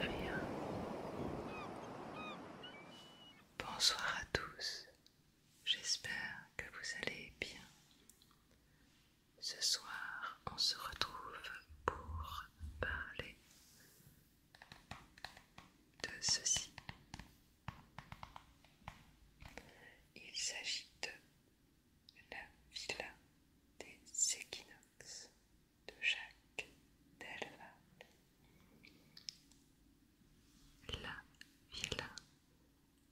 rien Bonsoir à tous, j'espère que vous allez bien. Ce soir, on se retrouve pour parler de ceci. Il s'agit de la villa des équinoxes de Jacques Delvade La villa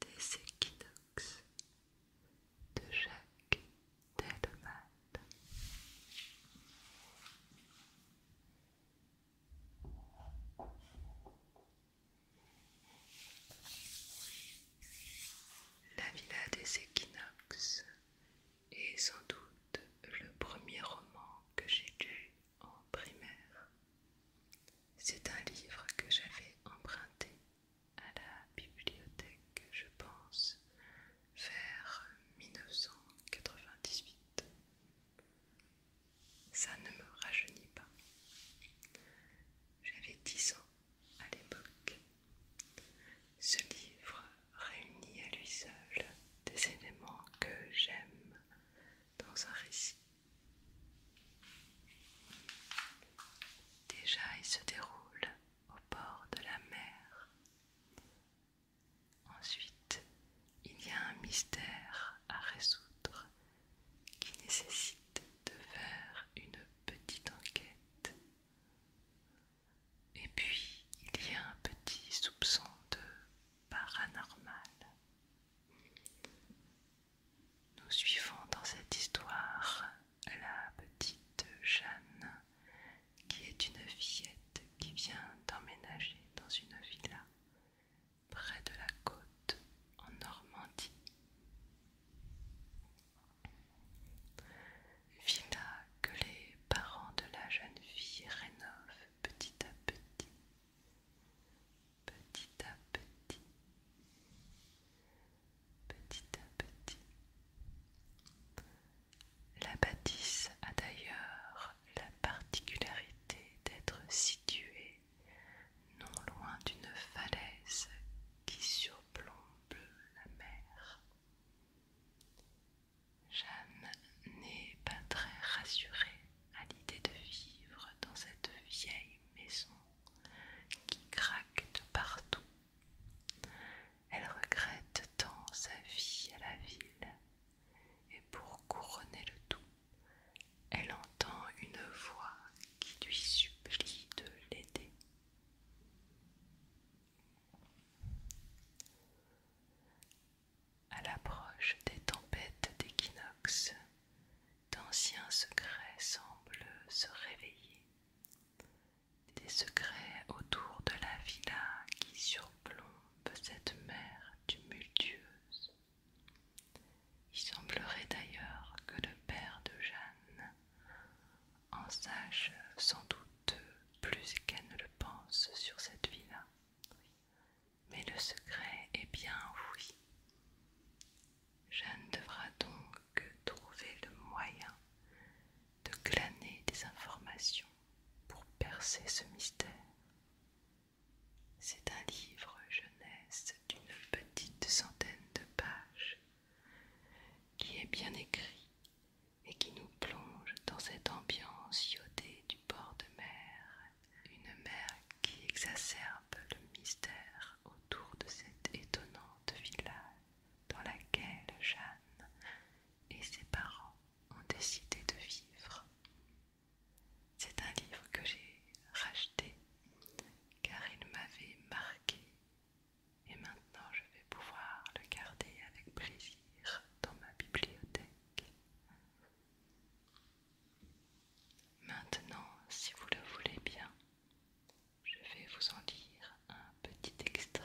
des équinoxes de Jacques Delval. La Villa des Équinoxes est sans doute le premier roman que j'ai lu en primaire. C'est un livre que j'avais emprunté à la bibliothèque, je pense, vers 1998. Ça ne me rajeunit pas. J'avais 10 ans à l'époque. Ce livre réunit à lui seul des éléments que j'aime dans un récit. Déjà, il se déroule au bord de la mer. Ensuite, il y a un mystère à résoudre qui nécessite de faire une petite enquête. Et puis, il y a un petit soupçon de paranormal. Nous suivons dans cette histoire la petite Jeanne, qui est une fillette qui vient d'emménager dans une villa près de la côte en Normandie. Villa que les parents de la jeune fille rénovent petit à petit, petit à petit, petit à petit. La bâtisse a d'ailleurs la particularité d'être située non loin d'une falaise qui surplombe la mer. Jeanne n'est pas très rassurée à l'idée de vivre dans cette vieille maison qui craque de partout. Elle regrette tant sa vie à la ville et pour couronner le tout, elle entend une voix qui lui supplie de l'aider. À l'approche des tempêtes d'équinoxe, d'anciens secrets semblent se réveiller, des secrets autour de la villa qui surplombe cette mer tumultueuse. Il semblerait d'ailleurs que le père de Jeanne en sache sans doute plus qu'elle ne le pense sur cette villa. Mais le secret est bien oui. Jeanne devra donc trouver le moyen de glaner des informations pour percer ce mystère. C'est un livre jeunesse d'une petite centaine de pages qui est bien écrit et qui nous plonge dans cette ambiance iodée du bord de mer, une mer qui exacerbe le mystère autour de cette étonnante villa dans laquelle Jeanne et ses parents ont décidé de vivre. C'est un livre que j'ai racheté car il m'avait marqué et maintenant je vais pouvoir le garder avec plaisir dans ma bibliothèque. Maintenant, si vous le voulez bien, je vais vous en lire un petit extrait.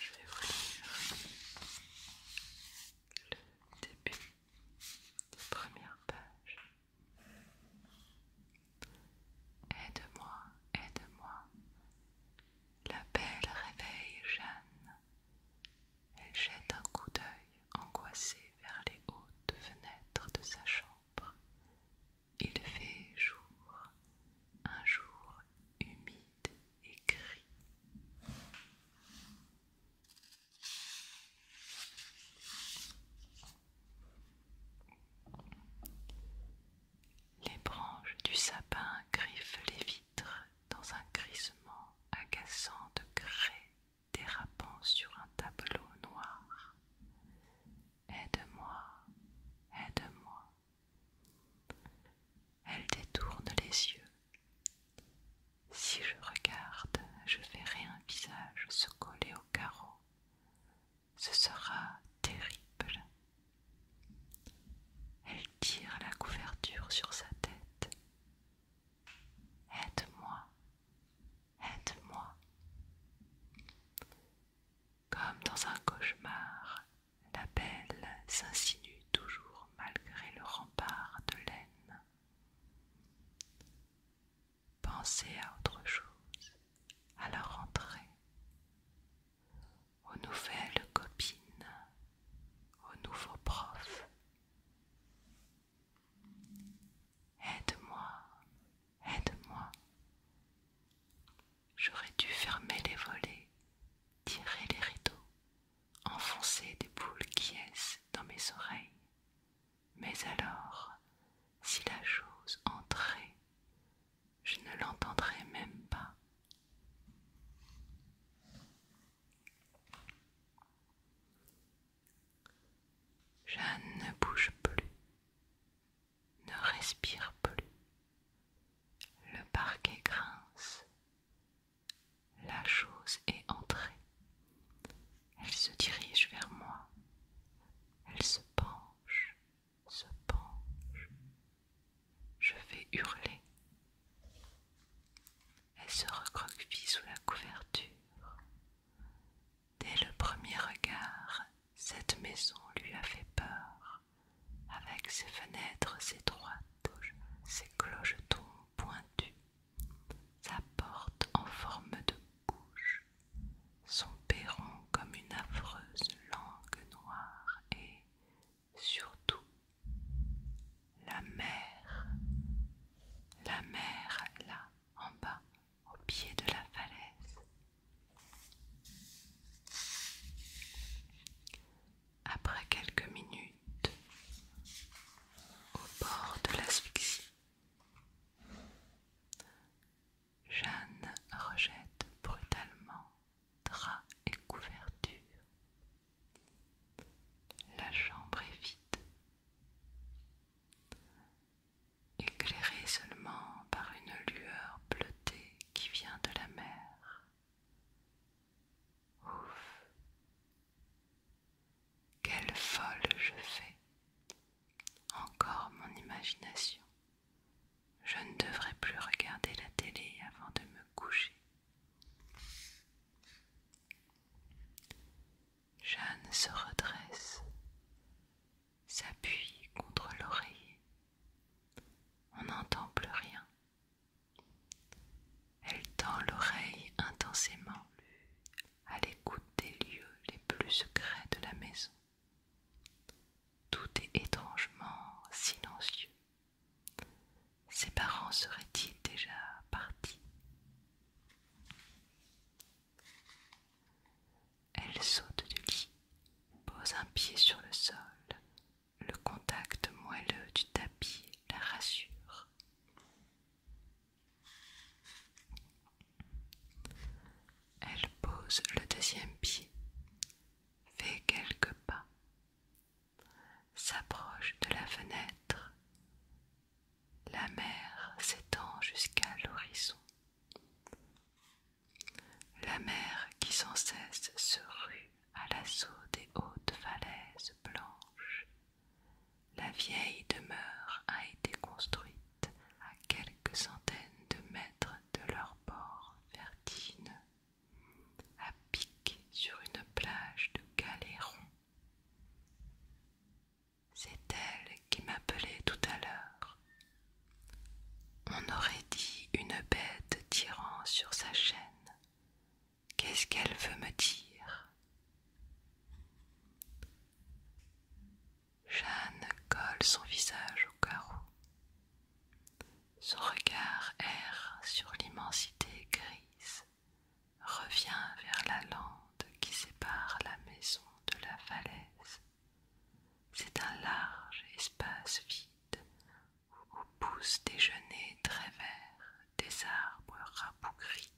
je vais vous lire le début première page. Aide-moi, aide-moi. La belle réveille Jeanne. Elle jette un coup d'œil angoissé vers les hautes fenêtres de sa chambre. Il fait jour, un jour humide et gris. Les branches du sapin griffent les vitres dans un grisement agaçant de grès dérapant sur un tableau noir. Aide-moi, aide-moi. Elle détourne les yeux. Si je regarde, je verrai un visage se coller au carreau, ce sera terrible. Elle tire la couverture sur sa tête. Aide-moi, aide-moi. Comme dans un cauchemar, la belle s'insinue toujours malgré le rempart de laine. Pensez à autre chose, à la rentrée, aux nouvelles copines, aux nouveaux profs. Aide-moi, aide-moi. J'aurais dû fermer les volets, tirer les rideaux, enfoncer des boules qui dans mes oreilles, mais alors, si la chose entrait, je ne l'entendrais même pas. Jeanne ne bouge plus, ne respire plus. Le parquet grince. La chose est entrée. Elle se dirige vers moi. Elle se penche, se penche. Je vais hurler. Elle se recroqueville sous la couverture. Dès le premier regard, cette maison lui a fait peur, avec ses fenêtres étroites, ses clochetons pointus, sa porte en forme de bouche, son perron comme une affreuse langue noire et, surtout, la mer, la mer là, en bas, au pied de la falaise. Après quelques minutes, au bord de l'asphyxie, Jeanne rejette brutalement drap et couverture. La chambre est vide, éclairée seulement par une lueur bleutée qui vient de la mer. Ouf, quelle folle je fais. Encore mon imagination. Je ne devrais plus regarder la télé avant de me coucher. Jeanne se redresse, s'appuie contre l'oreiller. On n'entend plus rien. Elle tend l'oreille intensément à l'écoute des lieux les plus secrets de la maison. Tout est étrangement silencieux. Ses parents seraient-ils déjà partis Elle saute du lit, pose un pied sur le sol. Le contact moelleux du tapis la rassure. Elle pose le deuxième pied, fait quelques pas, s'approche de la fenêtre. La mer s'étend jusqu'à l'horizon. La mer qui sans cesse se rue à l'assaut des hautes falaises blanches la vieille demeure a été construite à quelques centaines de mètres de leur bord Vertine, à pic sur une plage de ronds. C'est elle qui m'appelait tout à l'heure. On aurait dit une bête tirant sur sa chaîne, Qu'est-ce qu'elle veut me dire Jeanne colle son visage au carreau. Son regard erre sur l'immensité grise, revient vers la lande qui sépare la maison de la falaise. C'est un large espace vide où poussent des genêts très verts, des arbres rabougris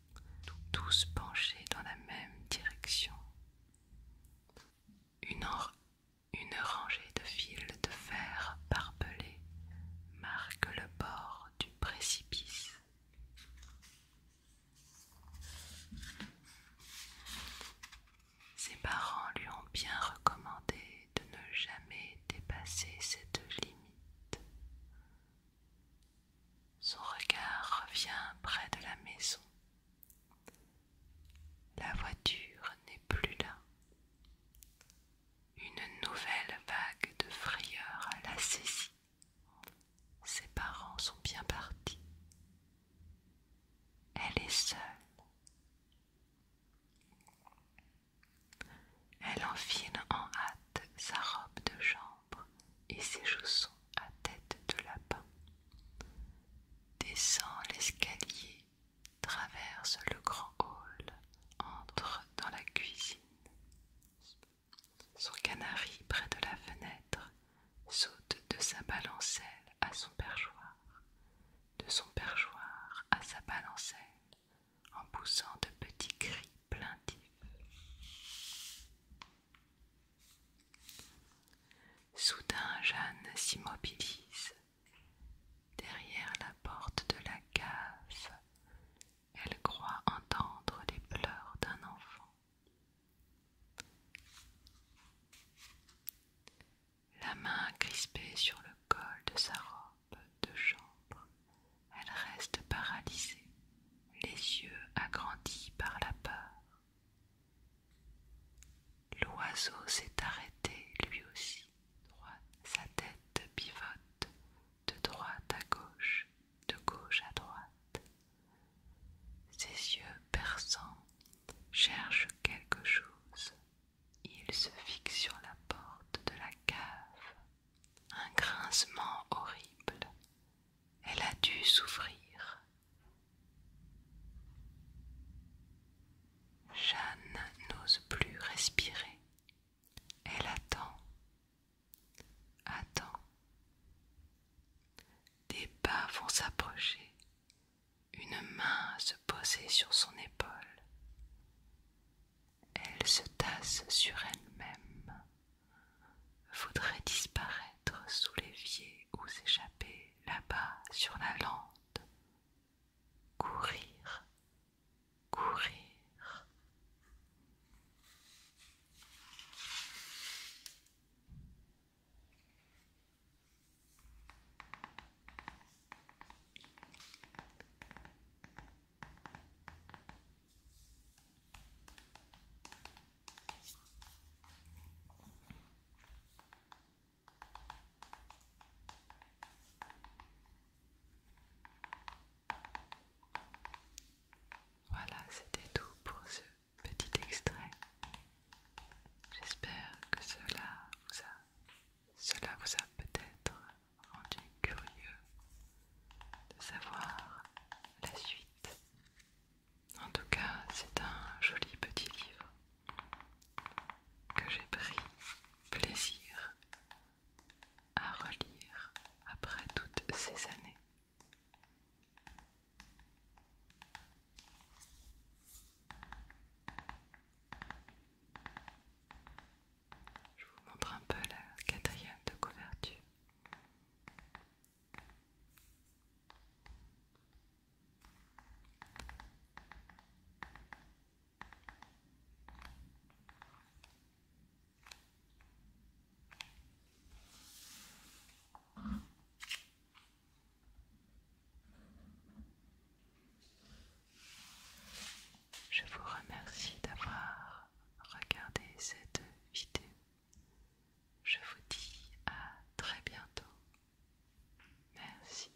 tous penchés dans la même direction. Une, rangée de fils de fer parpelés marque le bord du précipice. Ses parents lui ont bien recommandé de ne jamais dépasser cette limite. Son regard revient près de la maison. La voiture n'est plus là. Une nouvelle vague de frayeur la saisit. Ses parents sont bien partis. Elle est seule. Elle enfile en hâte sa robe de chambre et ses chaussons à tête de lapin, descend l'escalier, traverse le grand hall, entre dans la cuisine. Son canari près de la fenêtre saute de sa balancelle à son perchoir, de son perchoir à sa balancelle, en poussant de petits cris plaintifs. Soudain Jeanne s'immobilise. Derrière la porte de la cave, elle croit entendre les pleurs d'un enfant. La main crispée sur le col de sa robe de chambre, elle reste paralysée, les yeux agrandis par la peur. L'oiseau s'est arrêté lui aussi, sa tête pivote de droite à gauche, de gauche à droite. Ses yeux perçants cherchent quelque chose. Il se fixe sur la porte de la cave un grincement horrible. Elle a dû souffrir. Jeanne n'ose plus respirer. Elle attend, attend. Des pas vont s'approcher, une main se poser sur son épaule. Elle se tasse sur elle-même, voudrait disparaître sous l'évier ou s'échapper là-bas sur la lande. Courir, courir. Voilà, c'était tout pour ce petit extrait. J'espère que cela vous a cela vous a peut-être rendu curieux de savoir la suite. En tout cas, c'est un joli petit livre que j'ai pris plaisir à relire après toutes ces années. Je vous montre un peu la quatrième de couverture. Je vous remercie d'avoir regardé cette vidéo. Je vous dis à très bientôt. Merci.